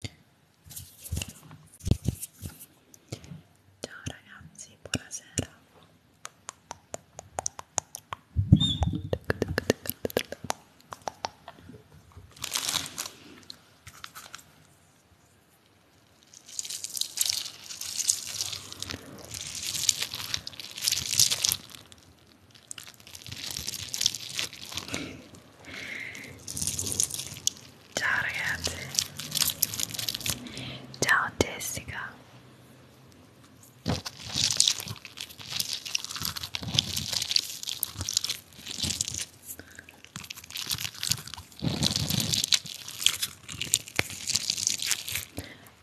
Ciao ragazzi, buonasera. Ciao ragazzi. Ciao Jessica.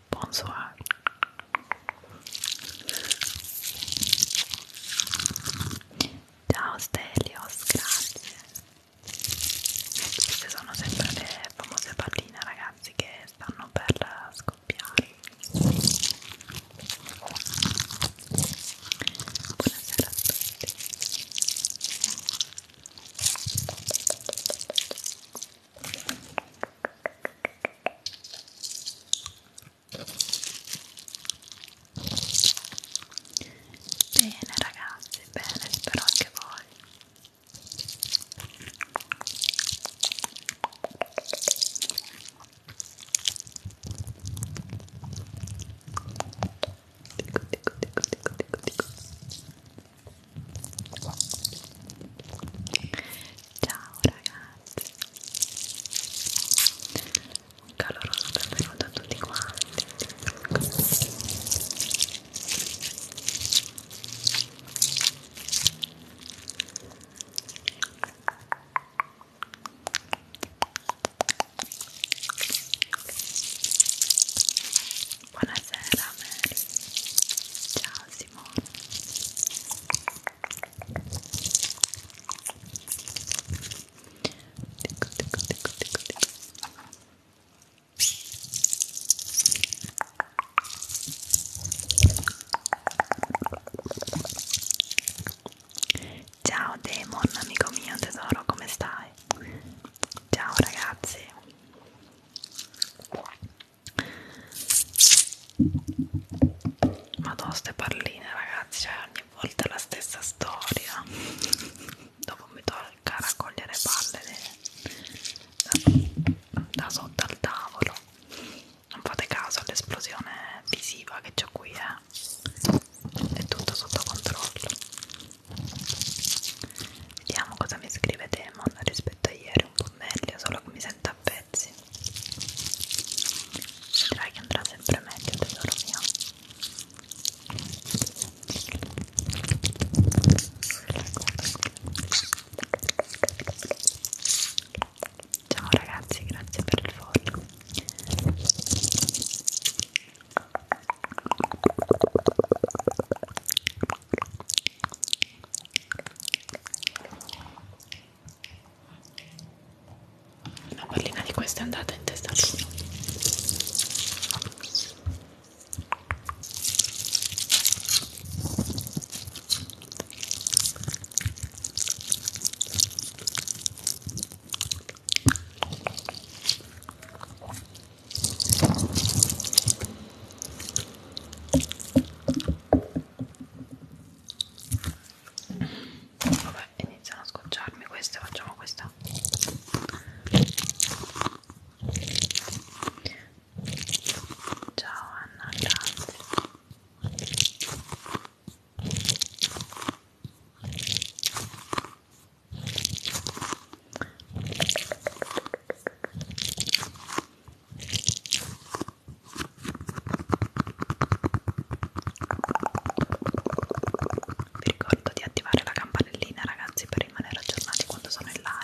Bonsoir. Ciao Stelios, grazie. Queste sono sempre le famose palline ragazzi che stanno per scoppiare. Buonasera a tutti. Bene ragazzi, bene, spero anche voi. Dico, dico, dico, dico, dico, dico. Ciao ragazzi un caloroso benvenuto a tutti quanti Buonasera Mary, ciao Simone Ticco, ticco, ticco, ticco, ticco. Ciao Demon, amico mio tesoro, come stai? Ciao ragazzi. Madonna, ste palline, ragazzi, cioè ogni volta la stessa storia dopo mi tocca raccogliere palle de... da sotto al tavolo non fate caso all'esplosione visiva che c'ho qui eh. è tutto sotto controllo vediamo cosa mi scrive Demon rispetto a ieri un po' meglio solo che mi sento a pezzi vedrai che andrà sempre meglio tesoro mio ciao ragazzi grazie per il follow una pallina di questa è andata in testa Vabbè, iniziano a scocciarmi queste facciamo questa ciao Anna grazie vi ricordo di attivare la campanellina, ragazzi, per rimanere aggiornati quando sono in live.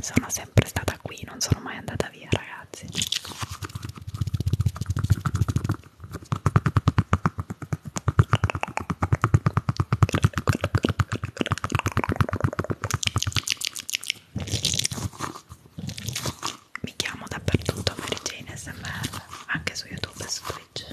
Sono sempre stata qui, non sono mai andata via, ragazzi mi chiamo dappertutto Mary Jane SMR anche su YouTube e su Twitch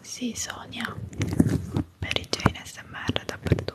Sì, Sonia, per i Jane SMR dappertutto.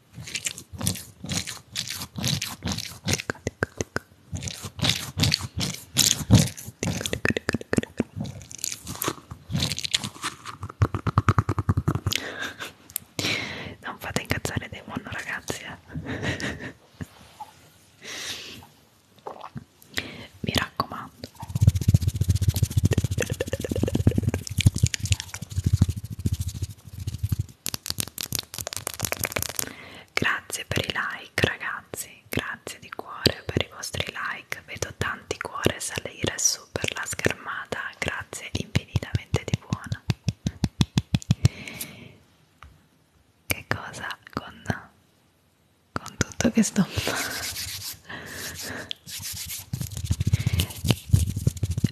Non fate incazzare Demon ragazzi eh. Mi raccomando Grazie per i like ragazzi, grazie di cuore per i vostri like, vedo tanti cuore salire su per la schermata, grazie infinitamente di buona. Che cosa con, con tutto che sto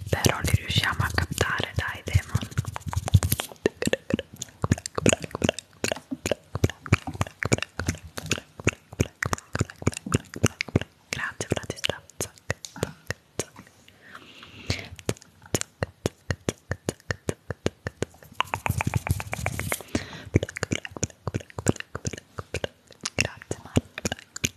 però li riusciamo a captare dai Demon grazie Bratislava zac, zac, zac. Grazie Marta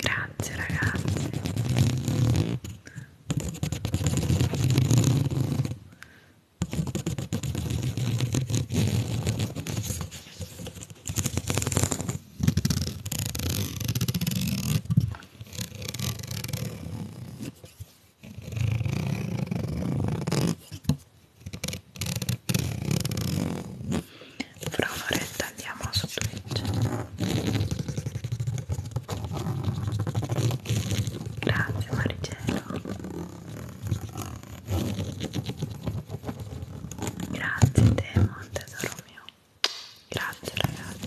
Grazie ragazzi. Fra un'oretta andiamo su Twitch grazie Maricelo grazie Demon tesoro mio grazie ragazzi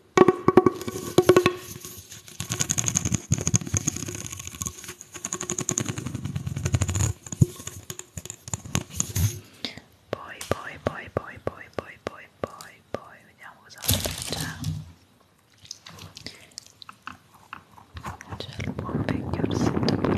Poi, poi, poi, poi, poi, poi, poi, poi, poi, vediamo cosa c'è. C'è il buon vecchio orsetto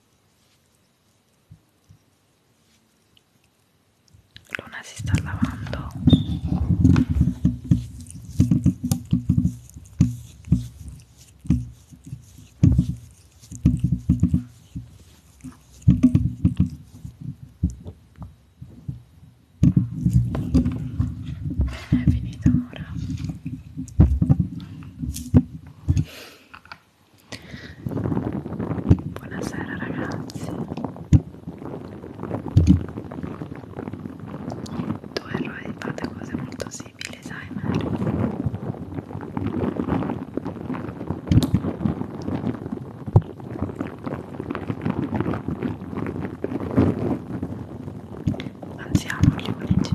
Luna se está lavando. è finita ora Buonasera ragazzi. Tu e lui fate cose molto simili, sai Mary? Anzi, amo gli unici.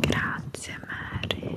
Grazie Mary.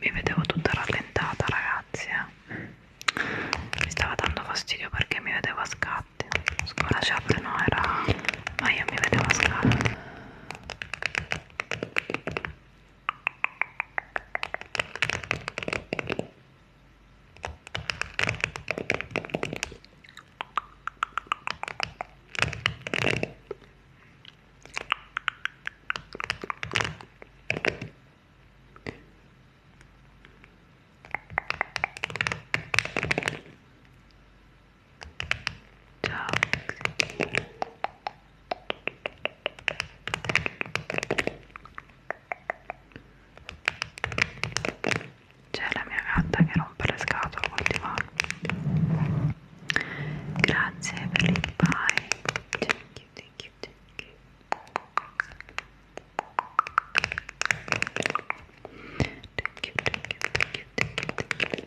mi vedevo tutta rallentata ragazzi eh. mi stava dando fastidio perché mi vedevo a scatti la chat no era ma io mi vedevo a scatti Ciao. C'è la mia gatta che rompe le scatole col divano. Grazie Evelyn, bye. Thank you, thank you, thank you. Thank you, thank you, thank you, thank you, thank you.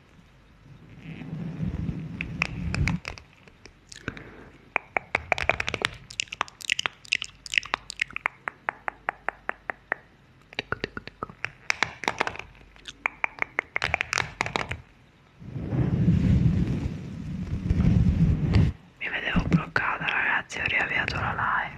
Mi vedevo bloccata ragazzi, ho riavviato la live.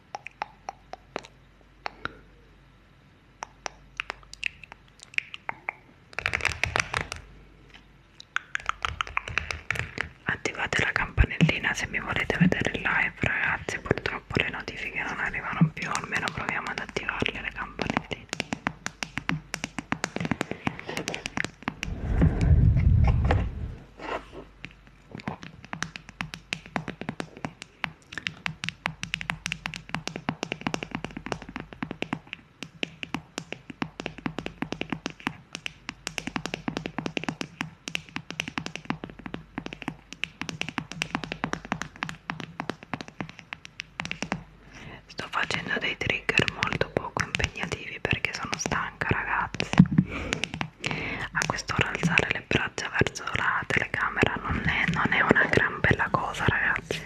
attivate la campanellina se mi volete vedere il live ragazzi purtroppo le notifiche non arrivano più almeno proviamo ad attivarle le campanelline Sto facendo dei trigger molto poco impegnativi perché sono stanca, ragazzi. A quest'ora alzare le braccia verso la telecamera non è, non è una gran bella cosa ragazzi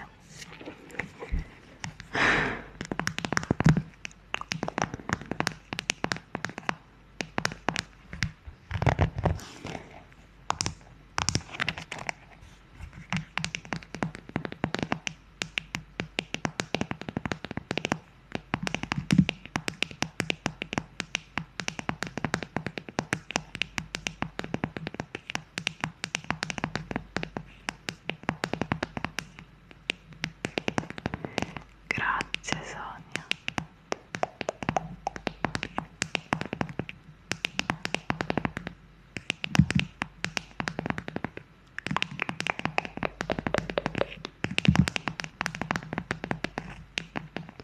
Grazie Sonia.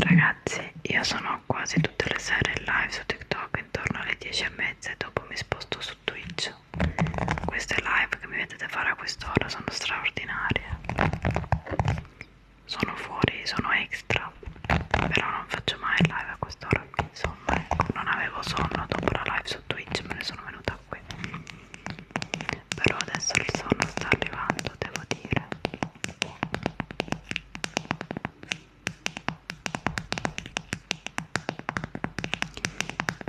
Ragazzi, io sono quasi tutte le sere in live su TikTok intorno alle 10 e mezza e dopo mi sposto su Twitch. Queste live che mi vedete fare a quest'ora sono straordinarie. Sono fuori, sono extra, però non faccio mai live a quest'ora. Insomma, ecco, non avevo sonno dopo la live su Twitch, me ne sono venuta qui però adesso il sonno sta arrivando, devo dire.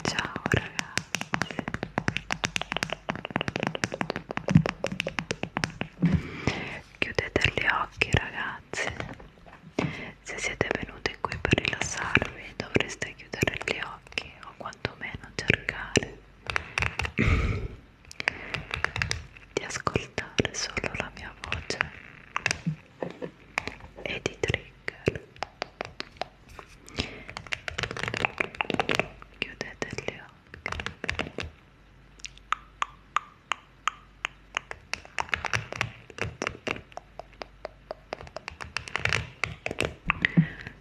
Ciao ragazzi. Chiudete gli occhi ragazzi. Se siete venuti qui per rilassarvi dovreste chiudere gli occhi o quantomeno cercare di ascoltare solo la mia voce e di trigger chiudete gli occhi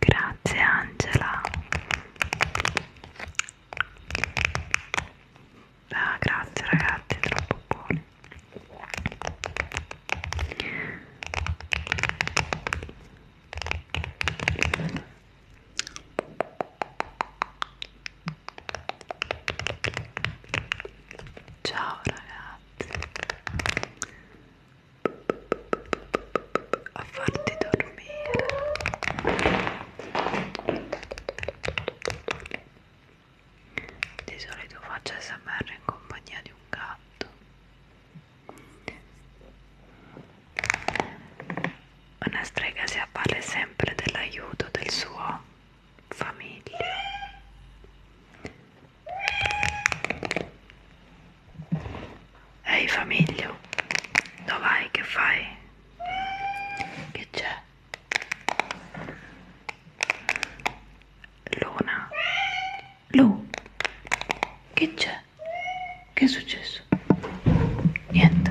Grazie Angela. Ah, grazie ragazzi, troppo buoni. Ciao ragazzi a farti dormire di solito faccio smr in compagnia di un gatto una strega si avvale sempre dell'aiuto del suo famiglio Ehi famiglio, dov'hai? Che fai? Che c'è? Luna? Lu? Che c'è? Che è successo? Niente.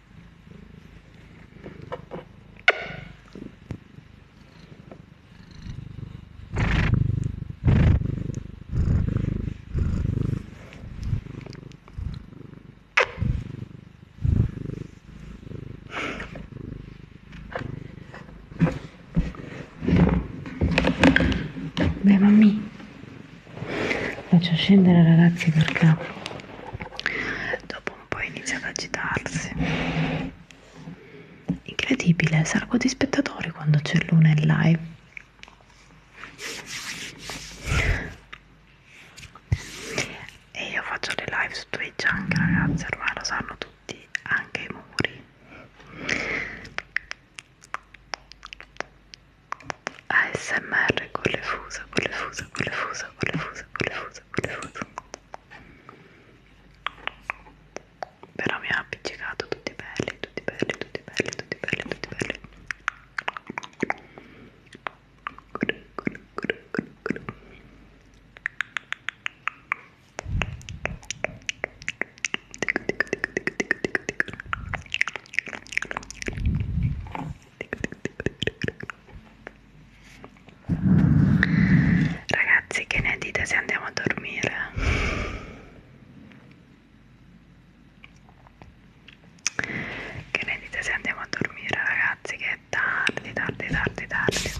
Beh, mammi, faccio scendere ragazzi perché dopo ma poi inizia ad agitarsi. Incredibile, salgo di spettatori quando c'è Luna in live. E io faccio le live su Twitch anche ragazzi, ormai lo sanno tutti, anche i muri. ASMR con le fusa, con le fusa, con le fusa, con le fusa, con le fusa, con le fusa però mi ha appiccicato tutti belli tutti belli tutti belli tutti belli tutti belli Ragazzi, che ne dite se andiamo a dormire? Che ne dite se andiamo a dormire, ragazzi? Che è tardi, tardi, tardi, tardi.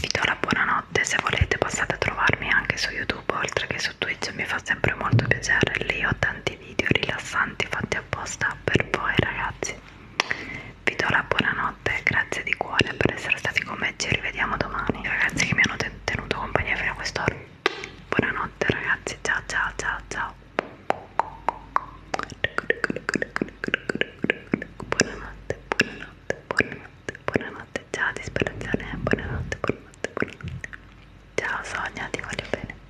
Vi do la buonanotte. Se volete, passate a trovarmi anche su YouTube oltre che su Twitch. Mi fa sempre molto piacere. Lì ho tanti video rilassanti fatti apposta per voi, ragazzi vi do la buonanotte grazie di cuore per essere stati con me ci rivediamo domani ragazzi che mi hanno tenuto compagnia fino a quest'ora buonanotte ragazzi ciao ciao ciao ciao buonanotte buonanotte buonanotte buonanotte ciao disperazione buonanotte buonanotte buonanotte ciao Sonia ti voglio bene